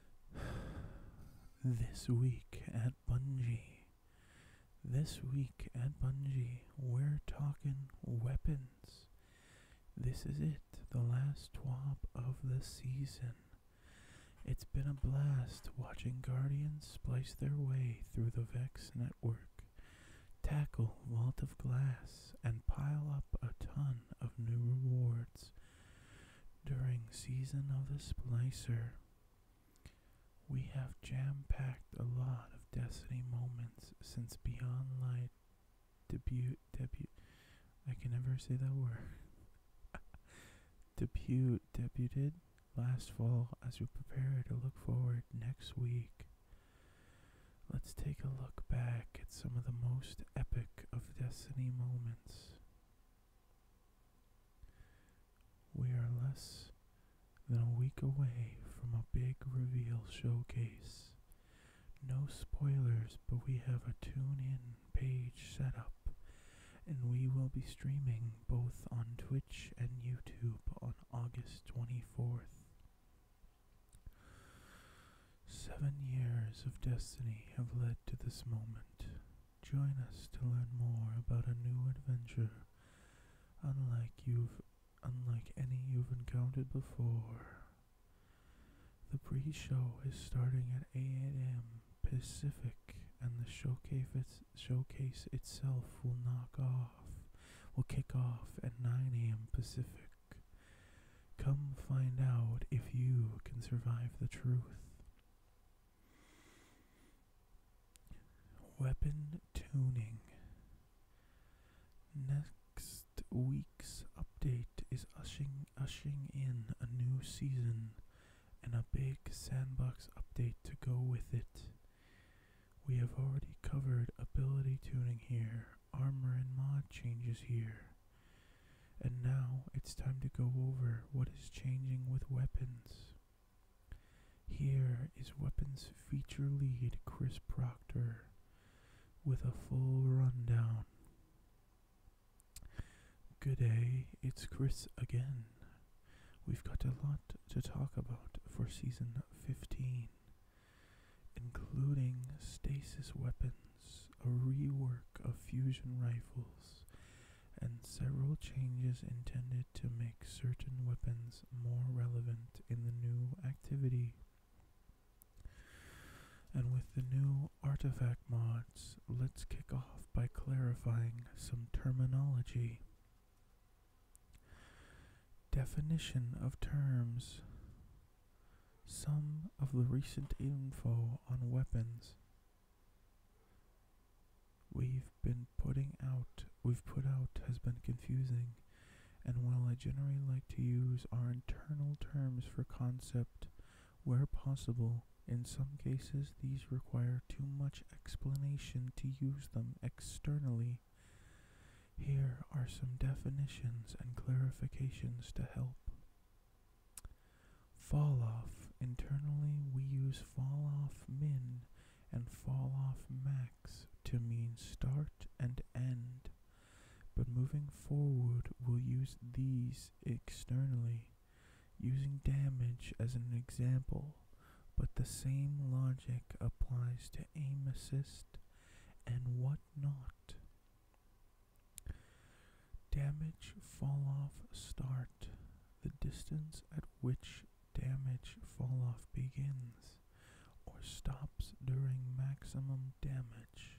This week at Bungie. This week at Bungie, we're talking weapons. This is it, the last twop of the season. It's been a blast watching Guardians splice their way through the Vex network, tackle Vault of Glass, and pile up a ton of new rewards during Season of the Splicer, we have jam packed a lot of Destiny moments since Beyond Light debut. debut I can never say that word. debut debuted last fall as we prepare to look forward next week. Let's take a look back at some of the most epic of destiny moments. We are less than a week away from a big reveal showcase. No spoilers, but we have a tune in page set up, and we will be streaming both on Twitch and YouTube on August 24th. Seven years of destiny have led to this moment. Join us to learn more about a new adventure, unlike you've, unlike any you've encountered before. The pre-show is starting at 8 a.m. Pacific, and the showcase, itself will knock off, will kick off at 9 a.m. Pacific. Come find out if you can survive the truth. Weapon tuning. Next week's update is ushering in a new season and a big sandbox update to go with it. We have already covered ability tuning here, armor and mod changes here, and now it's time to go over what is changing with weapons. Here is weapons feature lead Chris Proctor with a full rundown. Good day, it's Chris again. We've got a lot to talk about for season 15, including stasis weapons a rework of fusion rifles, and several changes intended to make certain weapons more relevant in the new activity. And with the new artifact mods, let's kick off by clarifying some terminology. Definition of terms. Some of the recent info on weapons. We've been putting out, we've put out has been confusing, and while I generally like to use our internal terms for concept where possible, in some cases these require too much explanation to use them externally. Here are some definitions and clarifications to help. Fall off Internally, we use fall off min and fall off max to mean start and end. But moving forward, we'll use these externally, using damage as an example. But the same logic applies to aim assist and what not. Damage fall-off start. The distance at which damage fall-off begins or stops during maximum damage.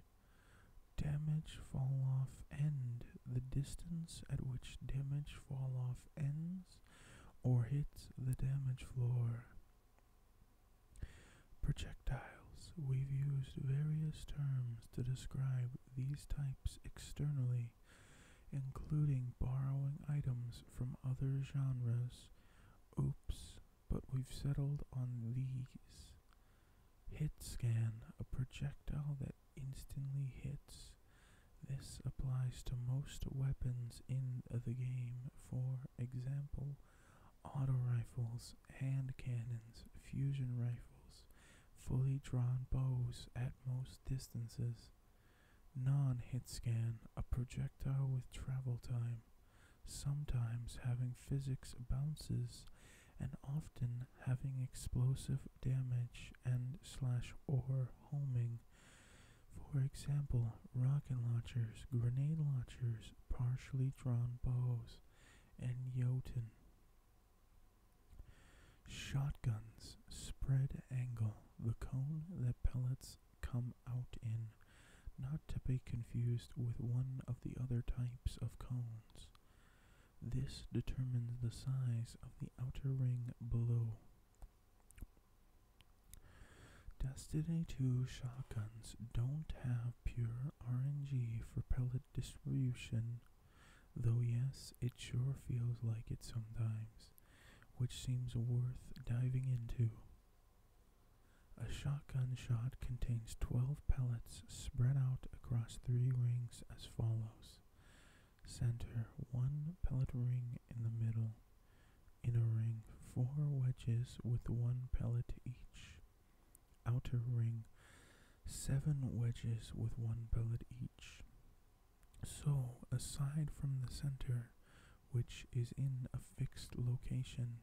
Damage fall-off end. The distance at which damage fall-off ends or hits the damage floor. Projectiles. We've used various terms to describe these types externally, including borrowing items from other genres. Oops, but we've settled on these. Hit scan, a projectile that instantly hits. This applies to most weapons in the game, for example, auto rifles, hand cannons, fusion rifles, fully drawn bows at most distances. Non hit scan, a projectile with travel time, sometimes having physics bounces and often having explosive damage and slash or homing. For example, rocket launchers, grenade launchers, partially drawn bows, and Jotun. Shotguns spread angle the cone that pellets come out in, not to be confused with one of the other types of cones. This determines the size of the outer ring below. Destiny 2 shotguns don't have pure RNG for pellet distribution Though, yes, it sure feels like it sometimes, which seems worth diving into. A shotgun shot contains 12 pellets spread out across three rings as follows. Center, one pellet ring in the middle. Inner ring, four wedges with one pellet each outer ring seven wedges with one pellet each. So, aside from the center, which is in a fixed location,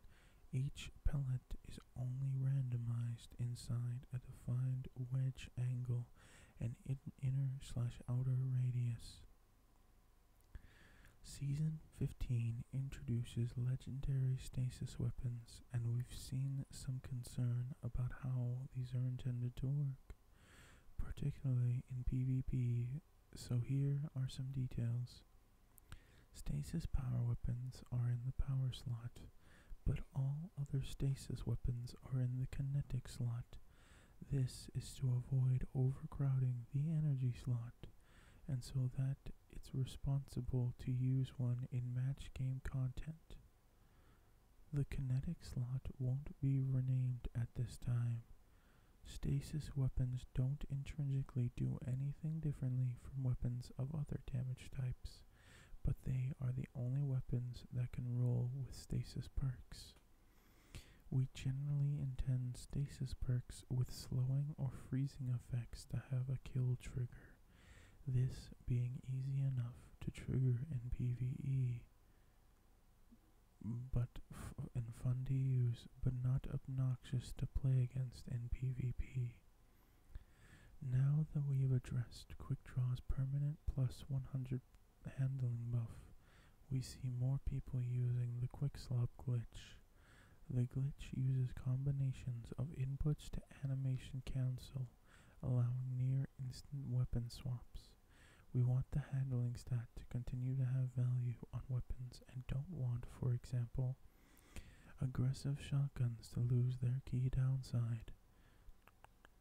each pellet is only randomized inside a defined wedge angle and inner slash outer radius. Season 15 introduces legendary stasis weapons, and we've seen some concern about how these are intended to work, particularly in PvP, so here are some details. Stasis power weapons are in the power slot, but all other stasis weapons are in the kinetic slot. This is to avoid overcrowding the energy slot, and so that it's responsible to use one in match game content. The kinetic slot won't be renamed at this time. Stasis weapons don't intrinsically do anything differently from weapons of other damage types, but they are the only weapons that can roll with stasis perks. We generally intend stasis perks with slowing or freezing effects to have a kill trigger this being easy enough to trigger in PvE but in fundi use, but not obnoxious to play against in PvP. Now that we have addressed Quick Draw's permanent plus 100 handling buff, we see more people using the Quick Slop glitch. The glitch uses combinations of inputs to animation cancel allowing near instant weapon swaps. We want the handling stat to continue to have value on weapons and don't want, for example, aggressive shotguns to lose their key downside.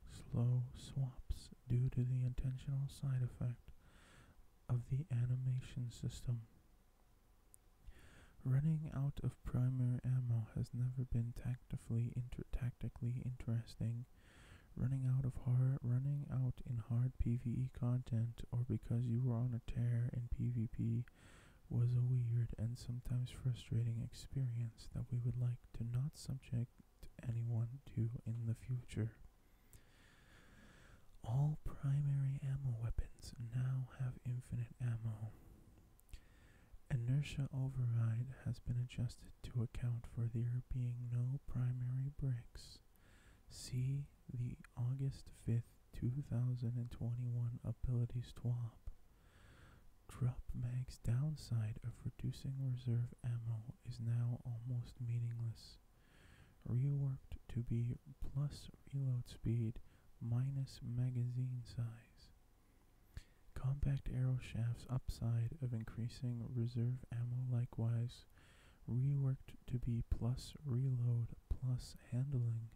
Slow swaps due to the intentional side effect of the animation system. Running out of primary ammo has never been tactically inter- tactically interesting. Running out of hard running out in hard PvE content or because you were on a tear in PvP was a weird and sometimes frustrating experience that we would like to not subject anyone to in the future. All primary ammo weapons now have infinite ammo. Inertia override has been adjusted to account for there being no primary bricks. See the August 5th, 2021 Abilities swap. Drop Mag's downside of reducing reserve ammo is now almost meaningless. Reworked to be plus reload speed minus magazine size. Compact arrow shafts upside of increasing reserve ammo likewise reworked to be plus reload plus handling.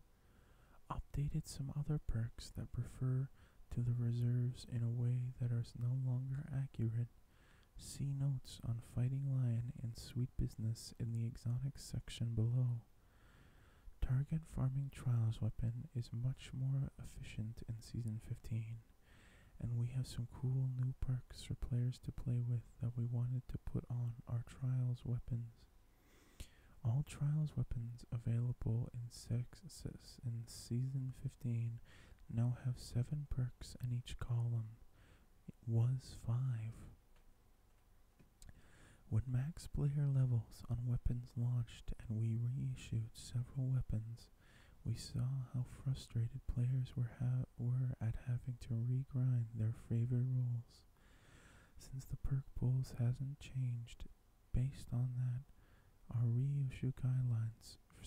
Updated some other perks that refer to the reserves in a way that are no longer accurate. See notes on Fighting Lion and Sweet Business in the Exotics section below. Target farming trials weapon is much more efficient in season 15, and we have some cool new perks for players to play with that we wanted to put on our trials weapons. All trials weapons available in, sexes in season 15 now have 7 perks in each column. It was 5. When max player level on weapons launched and we reissued several weapons, we saw how frustrated players were, were at having to regrind their favorite rules. Since the perk pools hasn't changed, based on that, our reissue guidelines for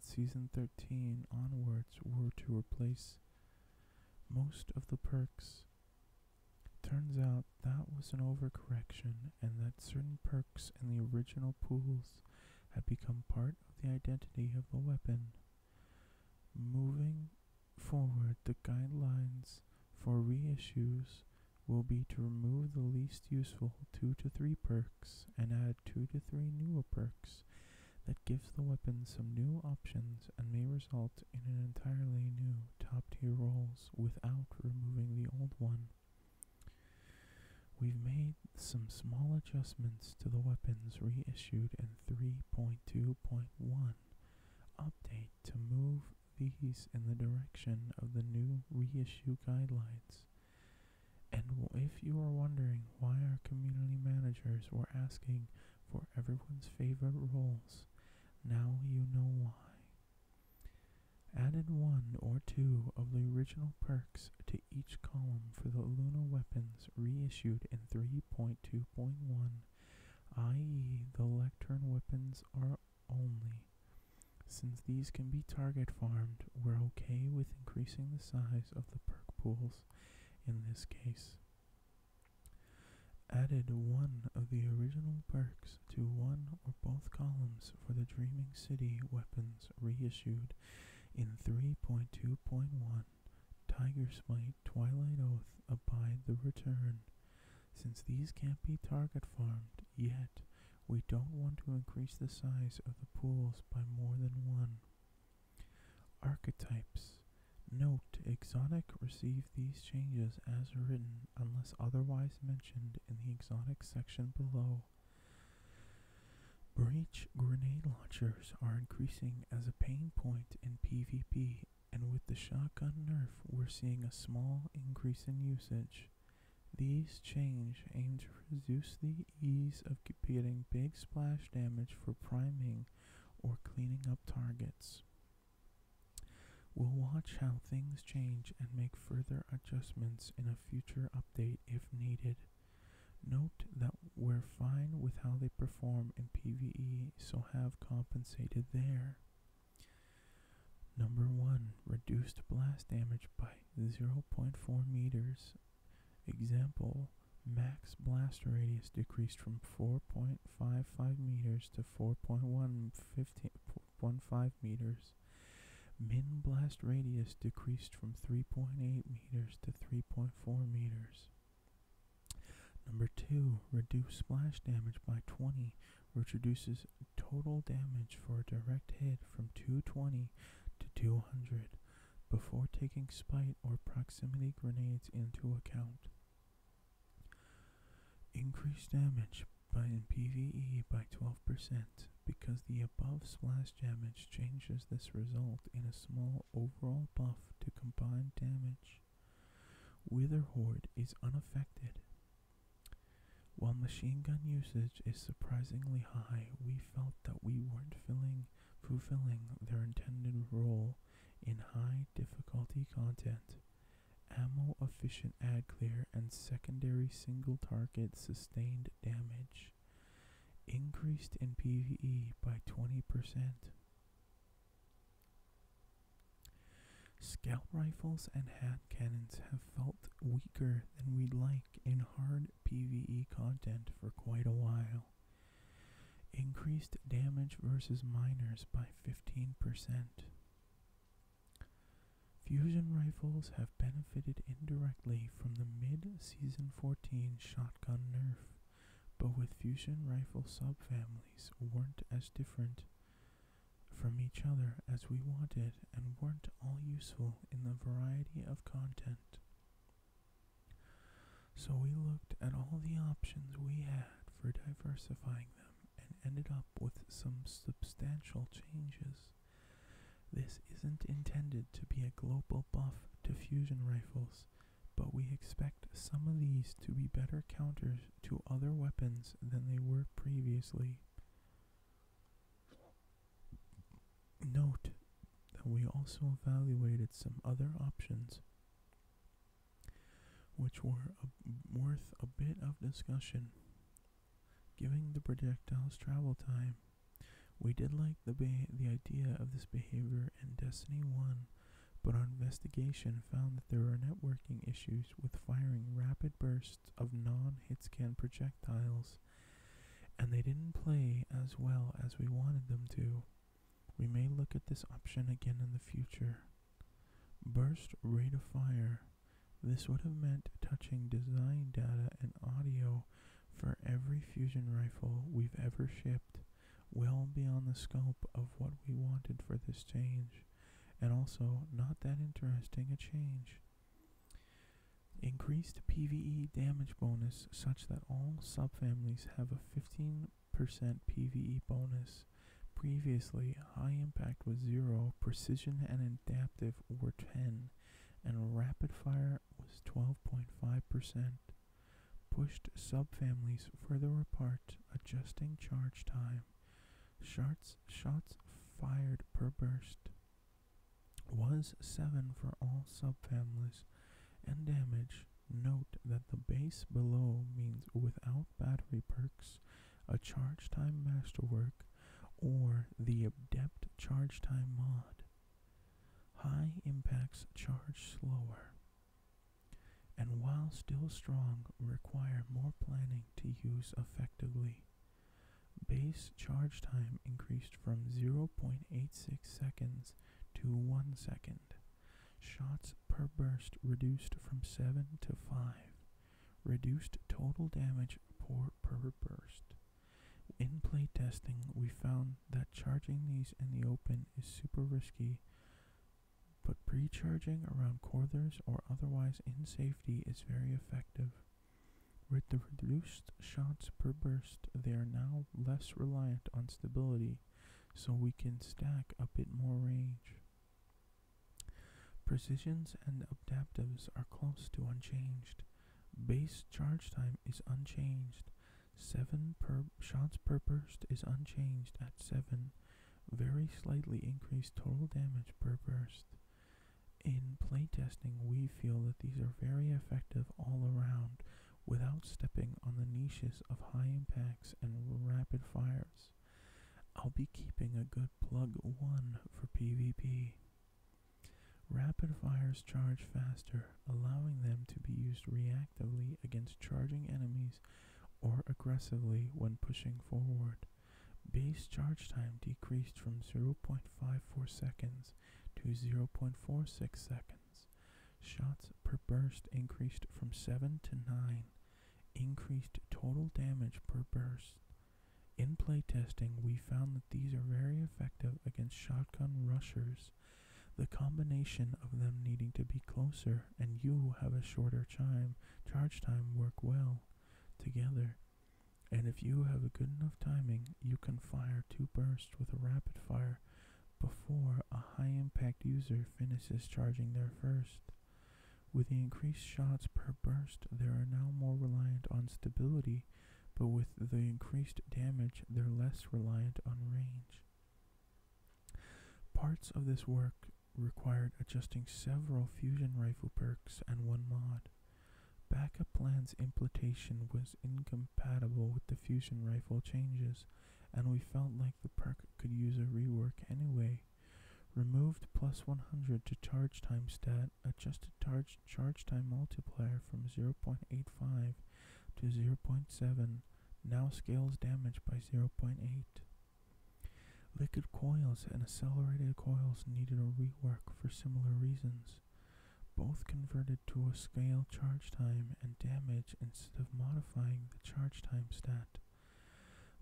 season 13 onwards were to replace most of the perks. Turns out that was an overcorrection and that certain perks in the original pools had become part of the identity of the weapon. Moving forward, the guidelines for reissues will be to remove the least useful two to three perks and add two to three newer perks that gives the weapon some new options and may result in an entirely new top tier rolls without removing the old one. We've made some small adjustments to the weapons reissued in 3.2.1 update to move these in the direction of the new reissue guidelines. And if you are wondering why our community managers were asking for everyone's favorite roles, now you know why. Added one or two of the original perks to each column for the Luna weapons reissued in 3.2.1, i.e., the lectern weapons are only. Since these can be target farmed, we're okay with increasing the size of the perk pools in this case. Added one of the original perks to one or both columns for the Dreaming City weapons reissued in 3.2.1 Tiger's Smite, Twilight Oath, Abide the Return. Since these can't be target farmed yet, we don't want to increase the size of the pools by more than one. Archetypes. Note, Exotic receive these changes as written unless otherwise mentioned in the Exotics section below. Breach grenade launchers are increasing as a pain point in PvP, and with the shotgun nerf, we're seeing a small increase in usage. These change aim to reduce the ease of getting big splash damage for priming or cleaning up targets. We'll watch how things change and make further adjustments in a future update if needed. Note that we're fine with how they perform in PvE, so have compensated there. Number 1. Reduced blast damage by 0.4 meters. Example, max blast radius decreased from 4.55 meters to 4.15 meters. Min blast radius decreased from 3.8 meters to 3.4 meters. Number 2. Reduce splash damage by 20, which reduces total damage for a direct hit from 220 to 200 before taking spite or proximity grenades into account. Increase damage by in PvE by 12% because the above splash damage changes this result in a small overall buff to combined damage. Wither Horde is unaffected. While machine gun usage is surprisingly high, we felt that we weren't fulfilling their intended role in high difficulty content. Ammo efficient add clear and secondary single target sustained damage. Increased in PvE by 20%. Scout rifles and hand cannons have felt weaker than we'd like in hard PvE content for quite a while. Increased damage versus miners by 15%. Fusion rifles have benefited indirectly from the mid season 14 shotgun nerf, but with fusion rifle subfamilies weren't as different from each other as we wanted and weren't all useful in the variety of content. So we looked at all the options we had for diversifying them and ended up with some substantial changes. This isn't intended to be a global buff to fusion rifles, but we expect some of these to be better counters to other weapons than they were previously. Note that we also evaluated some other options which were worth a bit of discussion giving the projectiles travel time. We did like the the idea of this behavior in Destiny 1, but our investigation found that there are networking issues with firing rapid bursts of non hit scan projectiles, and they didn't play as well as we wanted them to. We may look at this option again in the future. Burst rate of fire. This would have meant touching design data and audio for every fusion rifle we've ever shipped, well beyond the scope of what we wanted for this change, and also not that interesting a change. Increased PvE damage bonus such that all subfamilies have a 15% PvE bonus. Previously, high impact was 0, precision and adaptive were 10 and rapid fire was 12.5%, pushed subfamilies further apart, adjusting charge time. Shots, shots fired per burst was 7 for all subfamilies, and damage. Note that the base below means without battery perks, a charge time masterwork, or the adept charge time mod. High impacts charge slower and while still strong require more planning to use effectively. Base charge time increased from 0.86 seconds to 1 second. Shots per burst reduced from 7 to 5. Reduced total damage per, per burst. In play testing, we found that charging these in the open is super risky, but pre charging around corners or otherwise in safety is very effective. With the reduced shots per burst, they are now less reliant on stability, so we can stack a bit more range. Precisions and adaptives are close to unchanged. Base charge time is unchanged. 7 shots per burst is unchanged at 7. Very slightly increased total damage per burst. In playtesting, we feel that these are very effective all around without stepping on the niches of high impacts and rapid fires. I'll be keeping a good plug 1 for PvP. Rapid fires charge faster, allowing them to be used reactively against charging enemies or aggressively when pushing forward. Base charge time decreased from 0.54 seconds to 0.46 seconds. Shots per burst increased from 7 to 9. Increased total damage per burst. In play testing, we found that these are very effective against shotgun rushers, the combination of them needing to be closer and you have a shorter chime, charge time work well together. And if you have a good enough timing, you can fire two bursts with a rapid fire before a high impact user finishes charging their first. With the increased shots per burst, they are now more reliant on stability but with the increased damage, they're less reliant on range. Parts of this work required adjusting several fusion rifle perks and one mod. Backup plan's implantation was incompatible with the fusion rifle changes, and we felt like the perk could use a rework anyway. Removed plus 100 to charge time stat, adjusted charge charge time multiplier from 0.85 to 0.7, now scales damage by 0.8. Liquid coils and accelerated coils needed a rework for similar reasons. Both converted to a scale charge time and damage instead of modifying the charge time stat.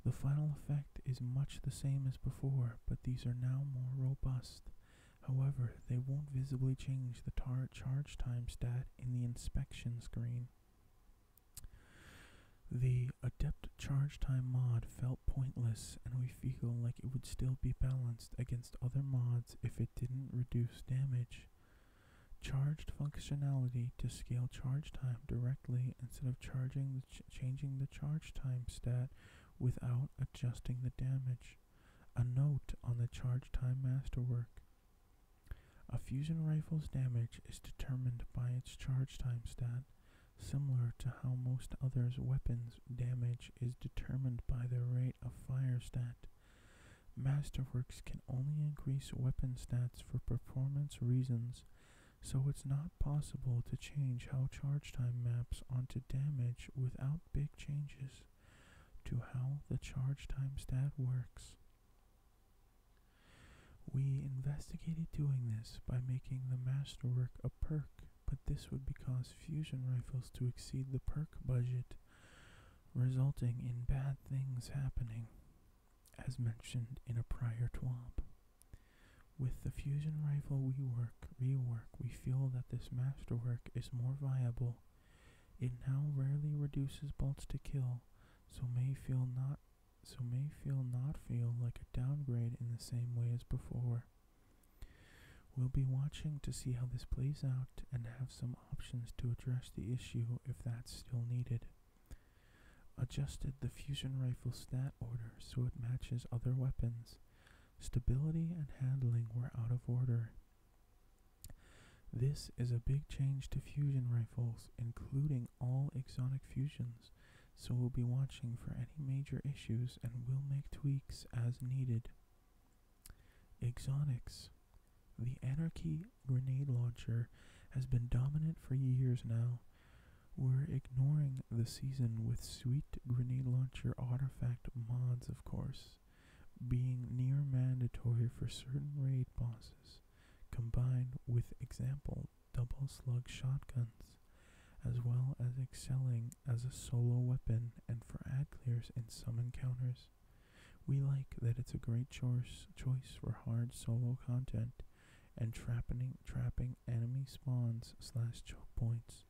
The final effect is much the same as before, but these are now more robust However, they won't visibly change the tar charge time stat in the inspection screen. The adept charge time mod felt pointless, and we feel like it would still be balanced against other mods if it didn't reduce damage. Charged functionality to scale charge time directly instead of charging changing the charge time stat without adjusting the damage. A note on the charge time masterwork. A fusion rifle's damage is determined by its charge time stat, similar to how most other weapons' damage is determined by their rate of fire stat. Masterworks can only increase weapon stats for performance reasons, so it's not possible to change how charge time maps onto damage without big changes to how the charge time stat works. We investigated doing this by making the masterwork a perk, but this would cause fusion rifles to exceed the perk budget, resulting in bad things happening, as mentioned in a prior TWAP. With the fusion rifle we were rework, rework, we feel that this masterwork is more viable. It now rarely reduces bolts to kill, so may feel not so may feel not feel like a downgrade in the same way as before. We'll be watching to see how this plays out and have some options to address the issue if that's still needed. Adjusted the fusion rifle stat order so it matches other weapons. Stability and handling were out of order. This is a big change to fusion rifles, including all exotic fusions, so we'll be watching for any major issues and will make tweaks as needed. Exotics The Anarchy grenade launcher has been dominant for years now. We're ignoring the season with sweet grenade launcher artifact mods, of course, being near mandatory for certain raid bosses, combined with example double slug shotguns, as well as excelling as a solo weapon and for ad clears in some encounters. We like that it's a great choice choice for hard solo content and trapping trapping enemy spawns slash choke points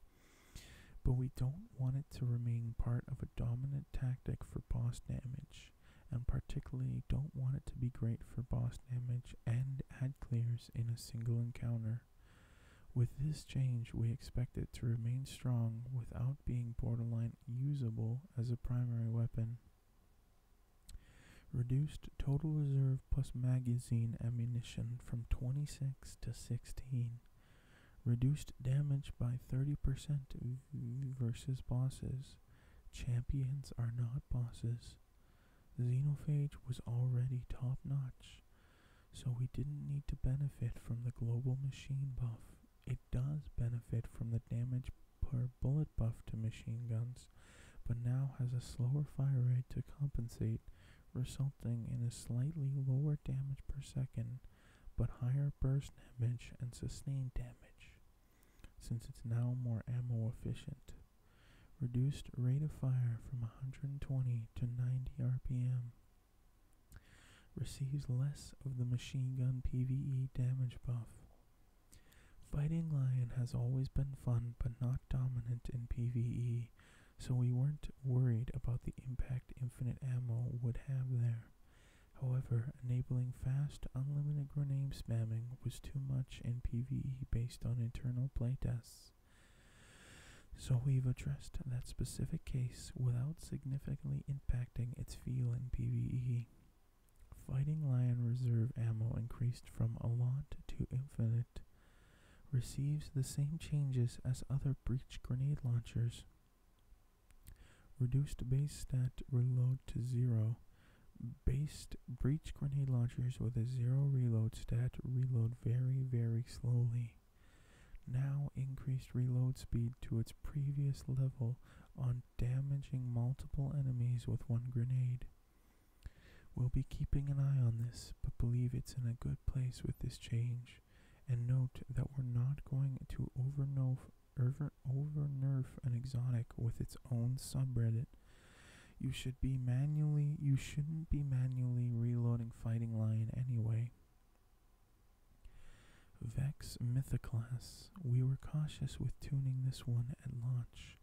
but we don't want it to remain part of a dominant tactic for boss damage, and particularly don't want it to be great for boss damage and ad clears in a single encounter. With this change, we expect it to remain strong without being borderline usable as a primary weapon. Reduced total reserve plus magazine ammunition from 26 to 16. Reduced damage by 30% versus bosses. Champions are not bosses. Xenophage was already top notch, so we didn't need to benefit from the global machine buff. It does benefit from the damage per bullet buff to machine guns, but now has a slower fire rate to compensate, resulting in a slightly lower damage per second but higher burst damage and sustained damage, since it's now more ammo efficient. Reduced rate of fire from 120 to 90 RPM. Receives less of the machine gun PvE damage buff. Fighting Lion has always been fun but not dominant in PvE, so we weren't worried about the impact infinite ammo would have there. However, enabling fast, unlimited grenade spamming was too much in PvE based on internal playtests. So we've addressed that specific case without significantly impacting its feel in PvE. Fighting Lion reserve ammo increased from a lot to infinite receives the same changes as other other breach grenade launchers. Reduced base stat reload to zero. Based breach grenade launchers with a zero reload stat reload very, very slowly. Now increased reload speed to its previous level on damaging multiple enemies with one grenade. We'll be keeping an eye on this, but believe it's in a good place with this change. And note that we're not going to overnerf, over, nerf an exotic with its own subreddit. You should be manually, you shouldn't be manually reloading Fighting Lion anyway. Vex Mythiclass. We were cautious with tuning this one at launch,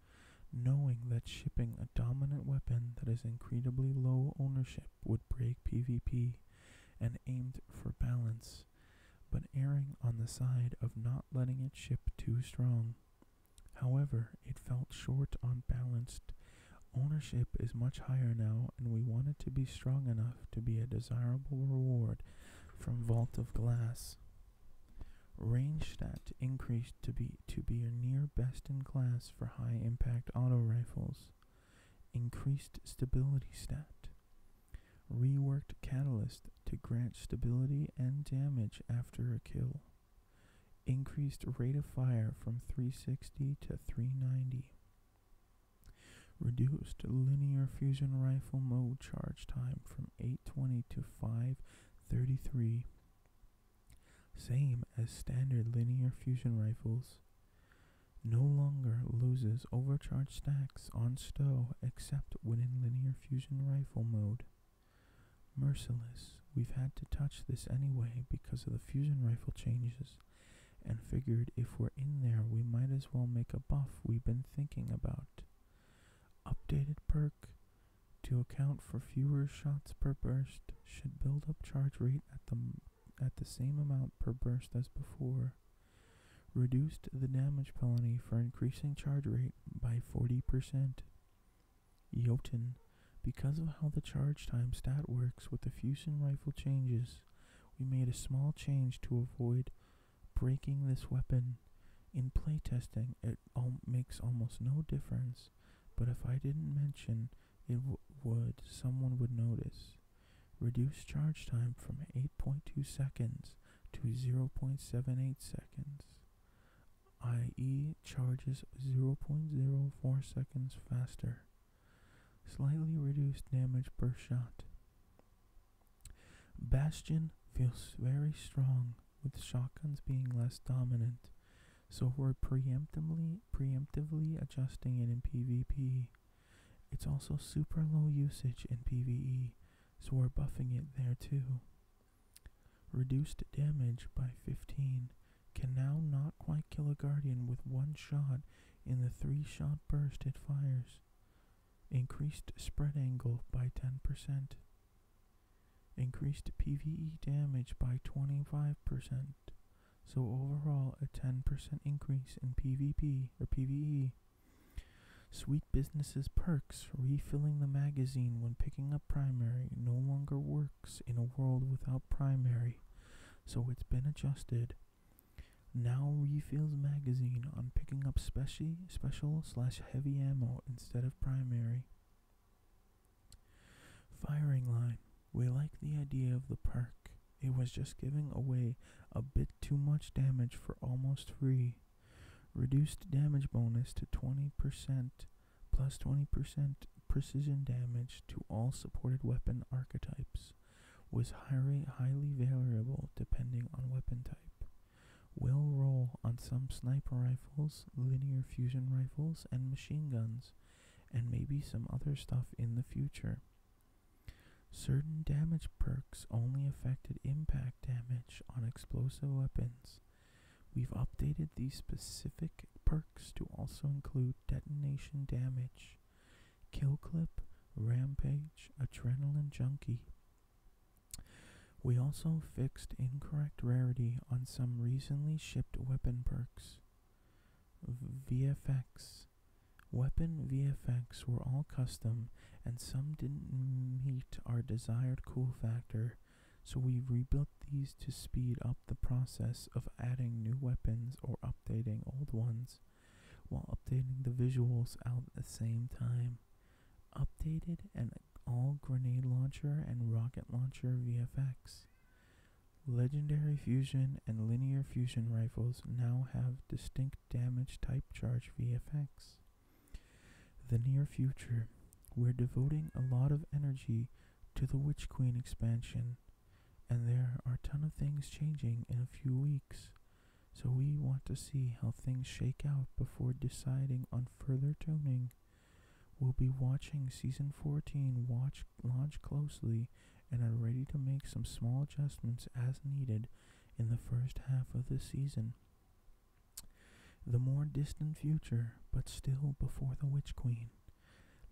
knowing that shipping a dominant weapon that is incredibly low ownership would break PvP and aimed for balance, but erring on the side of not letting it ship too strong. However, it felt short on balanced. Ownership is much higher now, and we want it to be strong enough to be a desirable reward from Vault of Glass. Range stat increased to be to be a near best in class for high impact auto rifles increased stability stat, reworked catalyst to grant stability and damage after a kill, increased rate of fire from 360 to 390, reduced linear fusion rifle mode charge time from 820 to 533, same as standard linear fusion rifles no longer loses overcharged stacks on stow except when in linear fusion rifle mode. Merciless, we've had to touch this anyway because of the fusion rifle changes, and figured if we're in there we might as well make a buff we've been thinking about. Updated perk to account for fewer shots per burst should build up charge rate at the at the same amount per burst as before, reduced the damage penalty for increasing charge rate by 40%. Jotun, because of how the charge time stat works with the fusion rifle changes, we made a small change to avoid breaking this weapon. In playtesting, it al- makes almost no difference, but if I didn't mention it would, someone would notice. Reduce charge time from 8.2 seconds to 0.78 seconds, i.e. charges 0.04 seconds faster. Slightly reduced damage per shot. Bastion feels very strong, with shotguns being less dominant, so we're preemptively, preemptively adjusting it in PvP it's also super low usage in PvE, so we're buffing it there too. Reduced damage by 15 can now not quite kill a guardian with one shot in the three shot burst it fires. Increased spread angle by 10%. Increased PvE damage by 25%. So overall, a 10% increase in PvP or PvE. Sweet businesses perks. Refilling the magazine when picking up primary no longer works in a world without primary, so it's been adjusted. Now refills magazine on picking up speci- special slash heavy ammo instead of primary. Firing line. We like the idea of the park. It was just giving away a bit too much damage for almost free. Reduced damage bonus to 20% plus 20% precision damage to all supported weapon archetypes was highly, highly variable depending on weapon type. Will roll on some sniper rifles, linear fusion rifles, and machine guns, and maybe some other stuff in the future. Certain damage perks only affected impact damage on explosive weapons. We've updated these specific perks to also include detonation damage, kill clip, rampage, adrenaline junkie. We also fixed incorrect rarity on some recently shipped weapon perks. VFX. Weapon VFX were all custom, and some didn't meet our desired cool factor, so we rebuilt these to speed up the process of adding new weapons or updating old ones, while updating the visuals at the same time. Updated and all grenade launcher and rocket launcher VFX. Legendary fusion and linear fusion rifles now have distinct damage type charge VFX. The near future, we're devoting a lot of energy to the Witch Queen expansion, and there are a ton of things changing in a few weeks, so we want to see how things shake out before deciding on further tuning. We'll be watching Season 14 watch, launch closely and are ready to make some small adjustments as needed in the first half of the season. The more distant future, but still before the Witch Queen.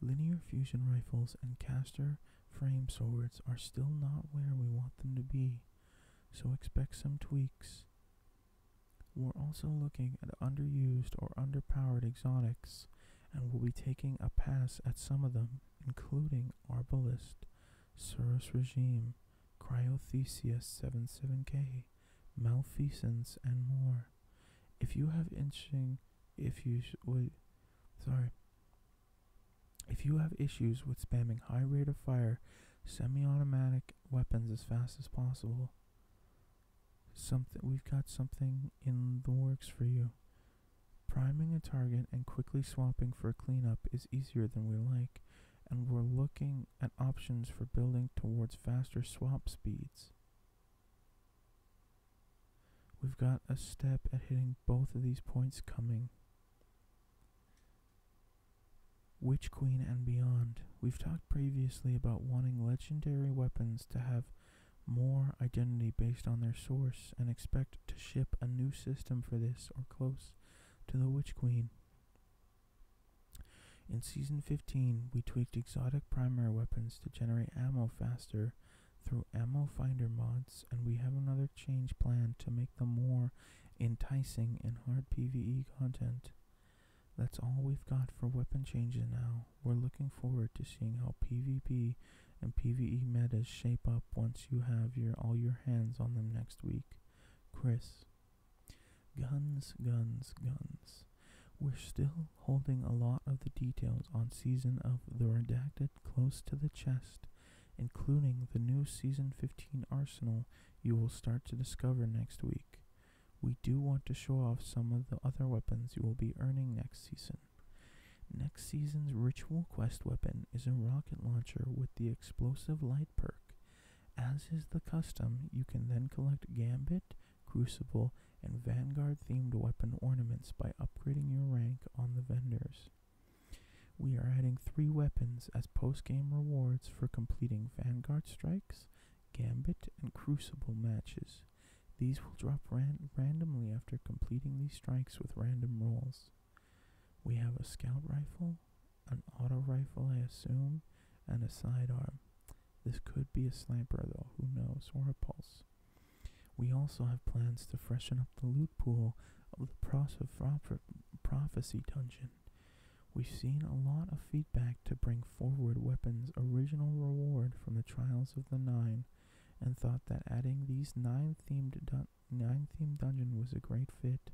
Linear fusion rifles and caster frame swords are still not where we want them to be, so expect some tweaks. We're also looking at underused or underpowered exotics, and we'll be taking a pass at some of them including arbalist, Cirrus Regime, Cryothesia 77K, Malfeasance, and more. If you have interesting, if you would, sorry, if you have issues with spamming high rate of fire, semi-automatic weapons as fast as possible, something we've got something in the works for you. Priming a target and quickly swapping for a cleanup is easier than we like, and we're looking at options for building towards faster swap speeds. We've got a step at hitting both of these points coming. Witch Queen and beyond. We've talked previously about wanting legendary weapons to have more identity based on their source and expect to ship a new system for this or close to the Witch Queen. In season 15, we tweaked exotic primary weapons to generate ammo faster through ammo finder mods, and we have another change planned to make them more enticing in hard PvE content. That's all we've got for weapon changes now. We're looking forward to seeing how PvP and PvE metas shape up once you have your all your hands on them next week. Chris. Guns, guns, guns. We're still holding a lot of the details on season of the redacted close to the chest, including the new season 15 arsenal you will start to discover next week. We do want to show off some of the other weapons you will be earning next season. Next season's Ritual Quest weapon is a rocket launcher with the Explosive Light perk. As is the custom, you can then collect Gambit, Crucible, and Vanguard themed weapon ornaments by upgrading your rank on the vendors. We are adding three weapons as post game rewards for completing Vanguard strikes, Gambit, and Crucible matches. These will drop randomly after completing these strikes with random rolls. We have a scout rifle, an auto rifle, I assume, and a sidearm. This could be a sniper, though, who knows, or a pulse. We also have plans to freshen up the loot pool of the Prophecy Dungeon. We've seen a lot of feedback to bring forward Weapon's original reward from the Trials of the Nine, and thought that adding these nine themed dun nine theme dungeon was a great fit.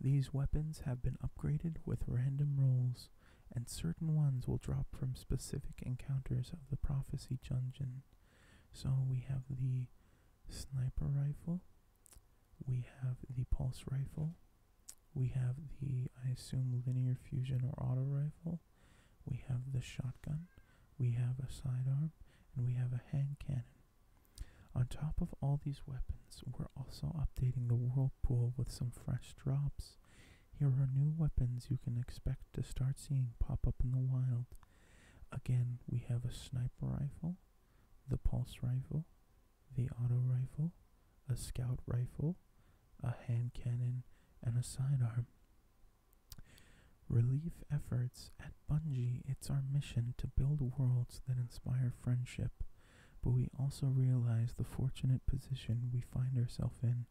These weapons have been upgraded with random rolls, and certain ones will drop from specific encounters of the prophecy dungeon. So we have the sniper rifle, we have the pulse rifle, we have the I assume linear fusion or auto rifle, we have the shotgun, we have a sidearm, and we have a hand cannon. On top of all these weapons, we're also updating the Whirlpool with some fresh drops. Here are new weapons you can expect to start seeing pop up in the wild. Again, we have a sniper rifle, the pulse rifle, the auto rifle, a scout rifle, a hand cannon, and a sidearm. Relief efforts at Bungie, it's our mission to build worlds that inspire friendship, but we also realize the fortunate position we find ourselves in,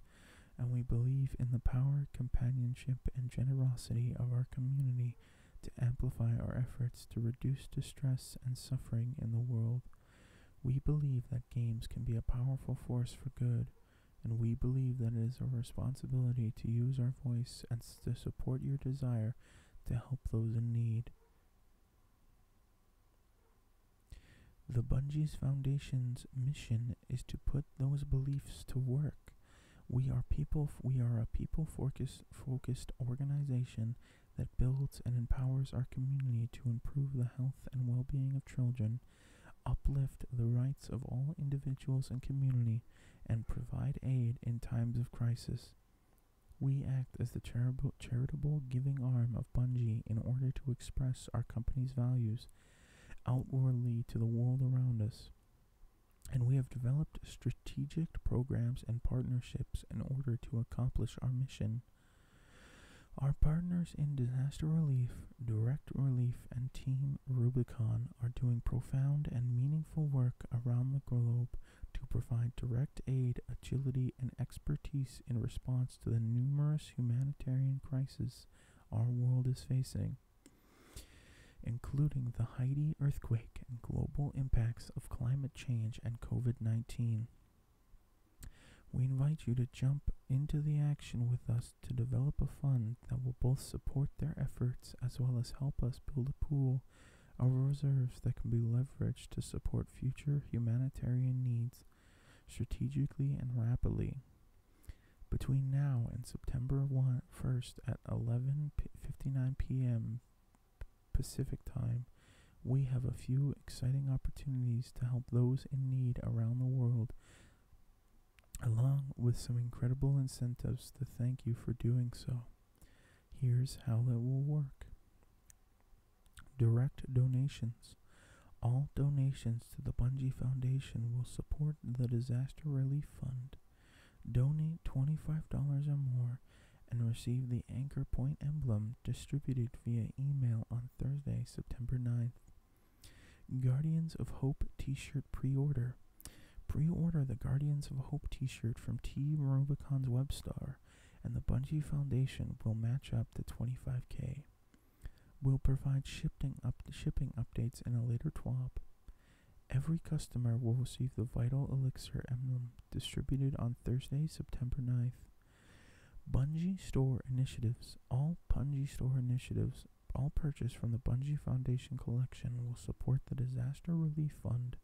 and we believe in the power, companionship, and generosity of our community to amplify our efforts to reduce distress and suffering in the world. We believe that games can be a powerful force for good and we believe that it is our responsibility to use our voice and to support your desire to help those in need. The Bungees Foundation's mission is to put those beliefs to work. We are people. We are a people focused organization that builds and empowers our community to improve the health and well-being of children uplift the rights of all individuals and community, and provide aid in times of crisis. We act as the charitable giving arm of Bungee in order to express our company's values outwardly to the world around us. And we have developed strategic programs and partnerships in order to accomplish our mission. Our partners in disaster relief Direct Relief, and Team Rubicon are doing profound and meaningful work around the globe to provide direct aid, agility, and expertise in response to the numerous humanitarian crises our world is facing, including the Haiti earthquake and global impacts of climate change and COVID 19. We invite you to jump into the action with us to develop a fund that will both support their efforts as well as help us build a pool of reserves that can be leveraged to support future humanitarian needs strategically and rapidly. Between now and September 1st at 11:59 p.m. Pacific Time, we have a few exciting opportunities to help those in need around the world along with some incredible incentives to thank you for doing so. Here's how it will work direct donations. All donations to the Bungie Foundation will support the Disaster Relief Fund. Donate $25 or more and receive the Anchor Point emblem distributed via email on Thursday, September 9th. Guardians of Hope t shirt pre order. Pre order the Guardians of Hope t shirt from T. Rubicon's Webstar, and the Bungie Foundation will match up to 25k. We'll provide shipping, shipping updates in a later TWAP. Every customer will receive the Vital Elixir Emblem distributed on Thursday, September 9th. Bungie Store Initiatives. All Bungie Store Initiatives all purchases from the Bungee Foundation collection will support the Disaster Relief Fund.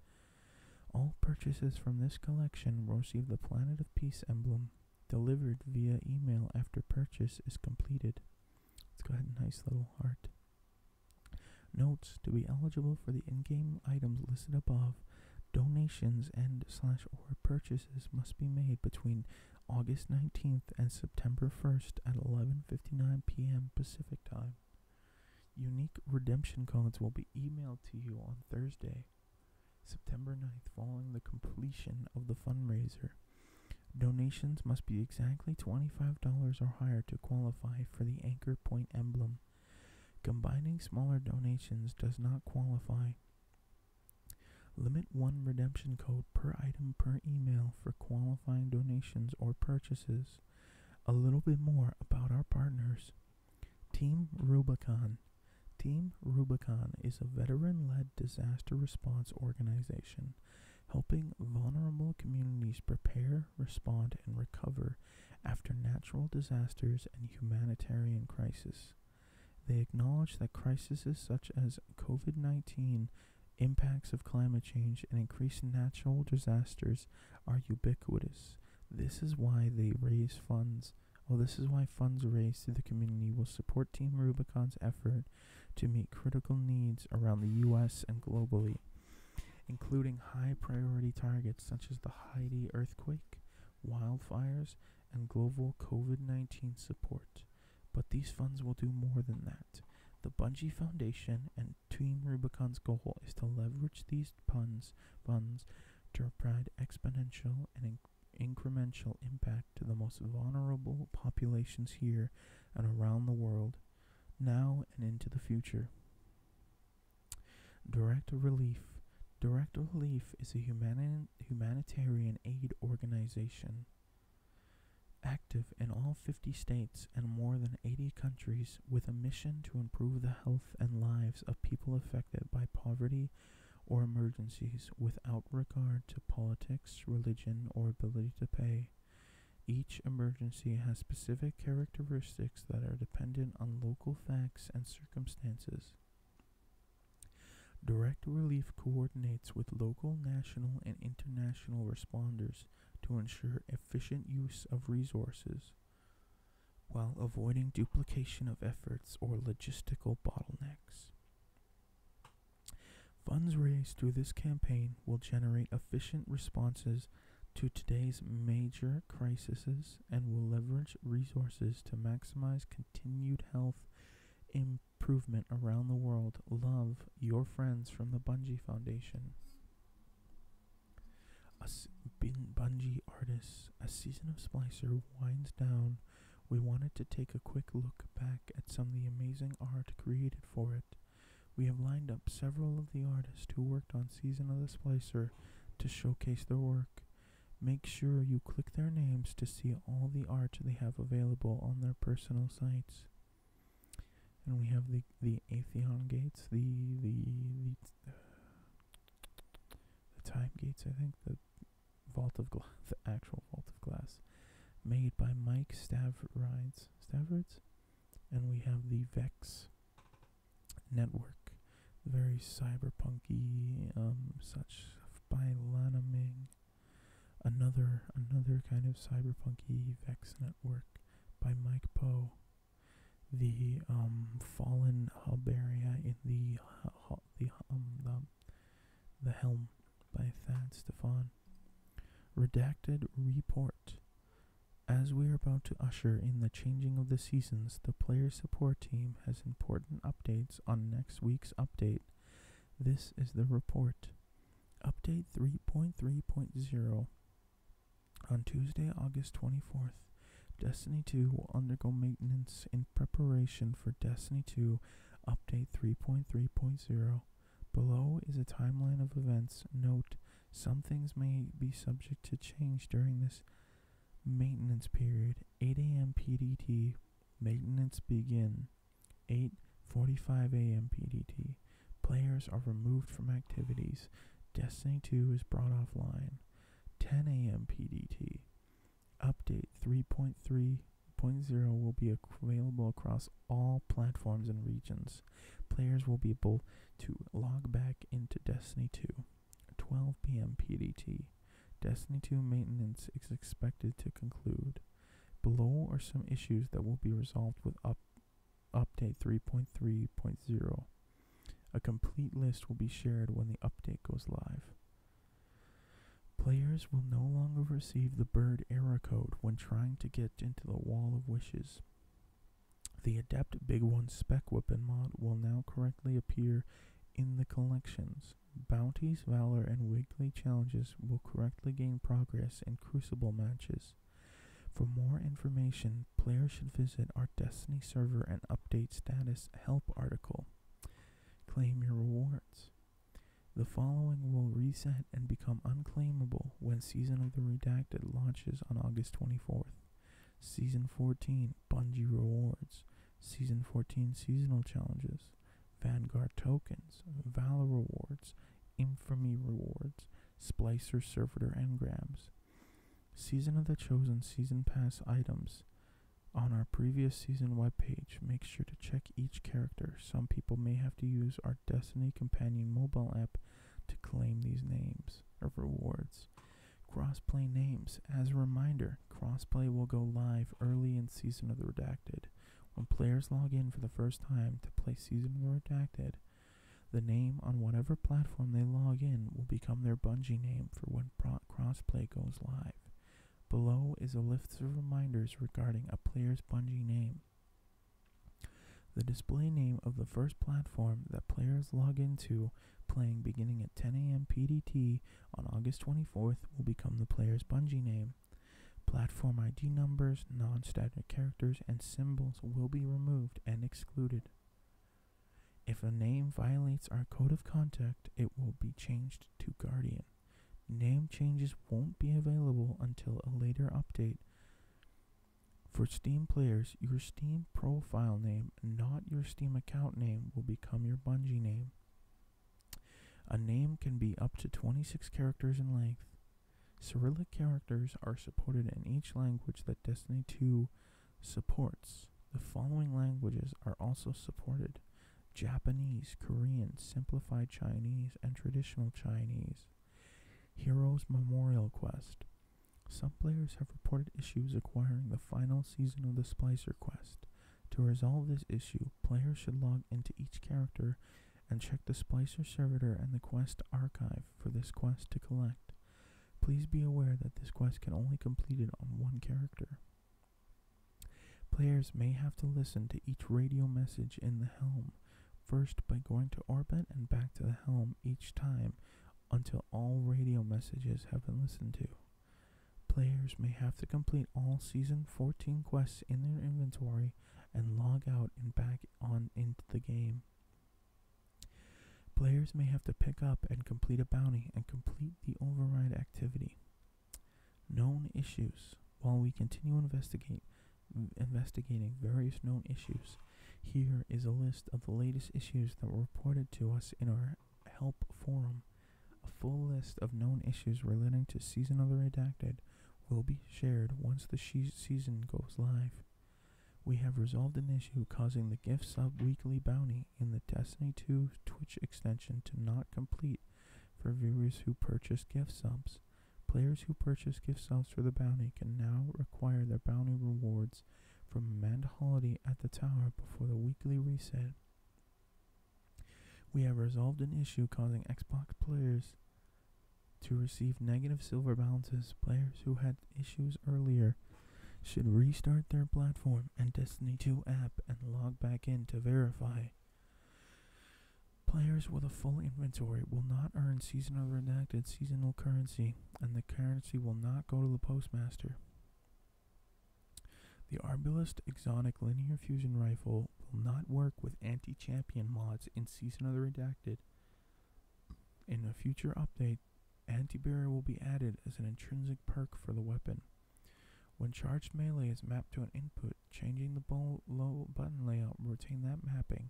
All purchases from this collection will receive the Planet of Peace emblem delivered via email after purchase is completed. It's got a nice little heart. Notes to be eligible for the in-game items listed above, donations and slash or purchases must be made between August 19th and September 1st at 11:59 p.m. Pacific Time. Unique redemption codes will be emailed to you on Thursday, September 9th, following the completion of the fundraiser. Donations must be exactly $25 or higher to qualify for the Anchor Point emblem. Combining smaller donations does not qualify. Limit one redemption code per item per email for qualifying donations or purchases. A little bit more about our partners. Team Rubicon. Team Rubicon is a veteran led disaster response organization helping vulnerable communities prepare, respond, and recover after natural disasters and humanitarian crises. They acknowledge that crises such as COVID 19 Impacts of climate change and increased natural disasters are ubiquitous. This is why they raise funds. Well, oh, this is why funds raised through the community will support Team Rubicon's effort to meet critical needs around the U.S. and globally, including high priority targets such as the Haiti earthquake, wildfires, and global COVID 19 support. But these funds will do more than that. The Bungie Foundation and Team Rubicon's goal is to leverage these funds, to provide exponential and incremental impact to the most vulnerable populations here and around the world, now and into the future. Direct Relief Direct Relief is a humanitarian aid organization active in all 50 states and more than 80 countries with a mission to improve the health and lives of people affected by poverty or emergencies without regard to politics, religion, or ability to pay. Each emergency has specific characteristics that are dependent on local facts and circumstances. Direct Relief coordinates with local, national, and international responders to ensure efficient use of resources while avoiding duplication of efforts or logistical bottlenecks. Funds raised through this campaign will generate efficient responses to today's major crises and will leverage resources to maximize continued health improvement around the world. Love your friends from the Bungie Foundation. A s- Bungie artists, a season of Splicer winds down. We wanted to take a quick look back at some of the amazing art created for it. We have lined up several of the artists who worked on Season of the Splicer to showcase their work. Make sure you click their names to see all the art they have available on their personal sites. And we have the the Atheon gates, the the the, time gates. I think the vault of glass, the actual vault of glass, made by Mike Stavrides, Stavrides, and we have the Vex network, very cyberpunky, um, such by Lanaming, another another kind of cyberpunky Vex Network by Mike Poe. The um, fallen hub area in the the um, the, the helm by Thad Stefan. Redacted report. As we are about to usher in the changing of the seasons, the player support team has important updates on next week's update. This is the report. Update 3.3.0 On Tuesday, August 24th, Destiny 2 will undergo maintenance in preparation for Destiny 2 Update 3.3.0. Below is a timeline of events. Note, some things may be subject to change during this maintenance period. 8 a.m. PDT, maintenance begin. 8:45 a.m. PDT. Players are removed from activities. Destiny 2 is brought offline. 10 a.m. PDT. Update 3.3.0 will be available across all platforms and regions. Players will be able to log back into Destiny 2. 12 p.m. PDT. Destiny 2 maintenance is expected to conclude. Below are some issues that will be resolved with up update 3.3.0. A complete list will be shared when the update goes live. Players will no longer receive the bird error code when trying to get into the Wall of Wishes. The Adept Big One Spec Weapon mod will now correctly appear in the collections. Bounties, Valor, and weekly challenges will correctly gain progress in Crucible matches. For more information, players should visit our Destiny server and update status help article. Claim your rewards. The following will reset and become unclaimable when Season of the Redacted launches on August 24th. Season 14 Bungie Rewards, Season 14 Seasonal Challenges, Vanguard Tokens, Valor Rewards, Infamy Rewards, Splicer, Servitor, Engrams. Season of the Chosen Season Pass items. On our previous season web page. make sure to check each character. Some people may have to use our Destiny Companion mobile app to claim these names of rewards. Crossplay names. As a reminder, crossplay will go live early in Season of the Redacted. When players log in for the first time to play Season of the Redacted, the name on whatever platform they log in will become their Bungie name for when crossplay goes live. Below is a list of reminders regarding a player's Bungie name. The display name of the first platform that players log into playing beginning at 10 a.m. PDT on August 24th will become the player's Bungie name. Platform ID numbers, non static characters, and symbols will be removed and excluded. If a name violates our code of conduct, it will be changed to Guardian. Name changes won't be available until a later update. For Steam players, your Steam profile name, not your Steam account name, will become your Bungie name. A name can be up to 26 characters in length. Cyrillic characters are supported in each language that Destiny 2 supports. The following languages are also supported Japanese, Korean, Simplified Chinese, and Traditional Chinese. Heroes Memorial Quest. Some players have reported issues acquiring the final season of the Splicer Quest. To resolve this issue, players should log into each character and check the Splicer server and the quest archive for this quest to collect. Please be aware that this quest can only be completed on one character. Players may have to listen to each radio message in the helm, first by going to orbit and back to the helm each time until all radio messages have been listened to. Players may have to complete all Season 14 quests in their inventory and log out and back on into the game. Players may have to pick up and complete a bounty and complete the override activity. Known issues. While we continue investigating various known issues, here is a list of the latest issues that were reported to us in our help forum. A full list of known issues relating to Season of the Redacted will be shared once the season goes live. We have resolved an issue causing the gift sub weekly bounty in the Destiny 2 Twitch extension to not complete for viewers who purchase gift subs. Players who purchase gift subs for the bounty can now require their bounty rewards from Amanda Holiday at the tower before the weekly reset. We have resolved an issue causing Xbox players to receive negative silver balances, players who had issues earlier should restart their platform and Destiny 2 app and log back in to verify. Players with a full inventory will not earn Season of the redacted seasonal currency, and the currency will not go to the postmaster. The Arbalest Exotic Linear Fusion Rifle will not work with anti champion mods in Season of the Redacted. In a future update, anti-barrier will be added as an intrinsic perk for the weapon. When charged melee is mapped to an input, changing the low button layout will retain that mapping.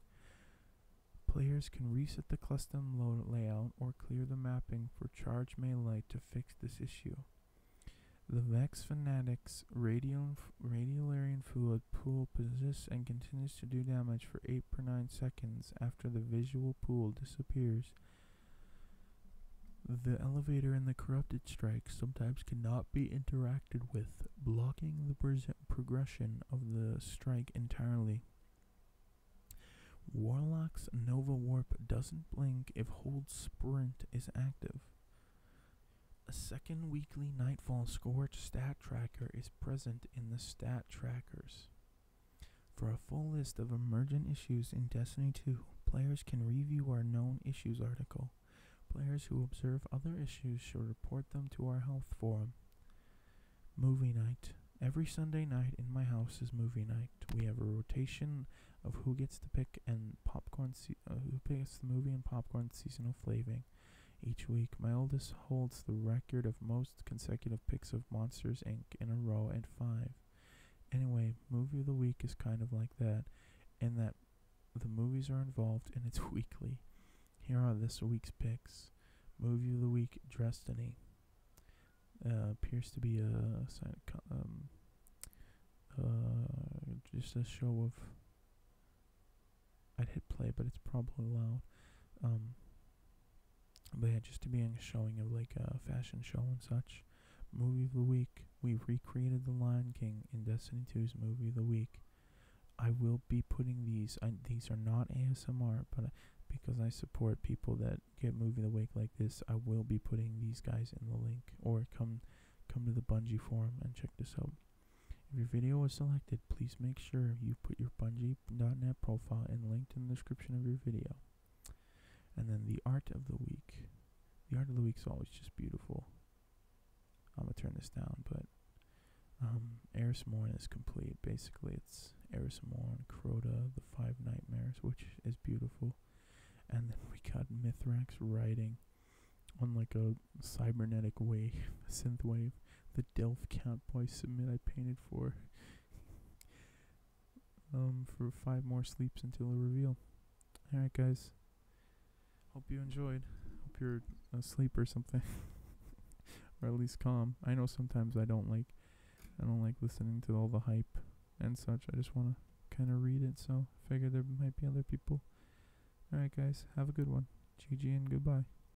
Players can reset the custom layout or clear the mapping for charged melee to fix this issue. The Vex Fanatics Radiolarian Fua solid pool persists and continues to do damage for 8 per 9 seconds after the visual pool disappears. The elevator and the corrupted strike sometimes cannot be interacted with, blocking the progression of the strike entirely. Warlock's Nova Warp doesn't blink if Hold Sprint is active. A second weekly Nightfall Scorch stat tracker is present in the stat trackers. For a full list of emergent issues in Destiny 2, players can review our known issues article. Players who observe other issues should report them to our health forum. Movie night. Every Sunday night in my house is movie night. We have a rotation of who gets to pick and popcorn uh, who picks the movie and popcorn seasonal flaving each week. My oldest holds the record of most consecutive picks of Monsters Inc. in a row at five. Anyway, movie of the week is kind of like that, in that the movies are involved and it's weekly. Here are this week's picks. Movie of the week, Destiny. Uh, appears to be a um, uh, just a show of I'd hit play, but it's probably loud. Um, but yeah, just to be on a showing of like a fashion show and such. Movie of the week. We recreated The Lion King in Destiny 2's Movie of the Week. I will be putting these. these are not ASMR, but because I support people that get Movie of the Week like this, I will be putting these guys in the link or come come to the Bungie forum and check this out. If your video was selected, please make sure you put your Bungie Geek.net profile and linked in the description of your video. And then the art of the week. The art of the week is always just beautiful. I'm gonna turn this down, but um, Eris Morn is complete. Basically, it's Eris Morn, Crota, the Five Nightmares, which is beautiful, and then we got Mithrax riding on like a cybernetic wave, synth wave, the Delft cat boy submit I painted for. um, for five more sleeps until the reveal. Alright, guys. Hope you enjoyed. Hope you're asleep or something. or at least calm. I know sometimes I don't like I don't like listening to all the hype and such. I just want to kind of read it, so figure there might be other people. Alright, guys, have a good one. GG and goodbye.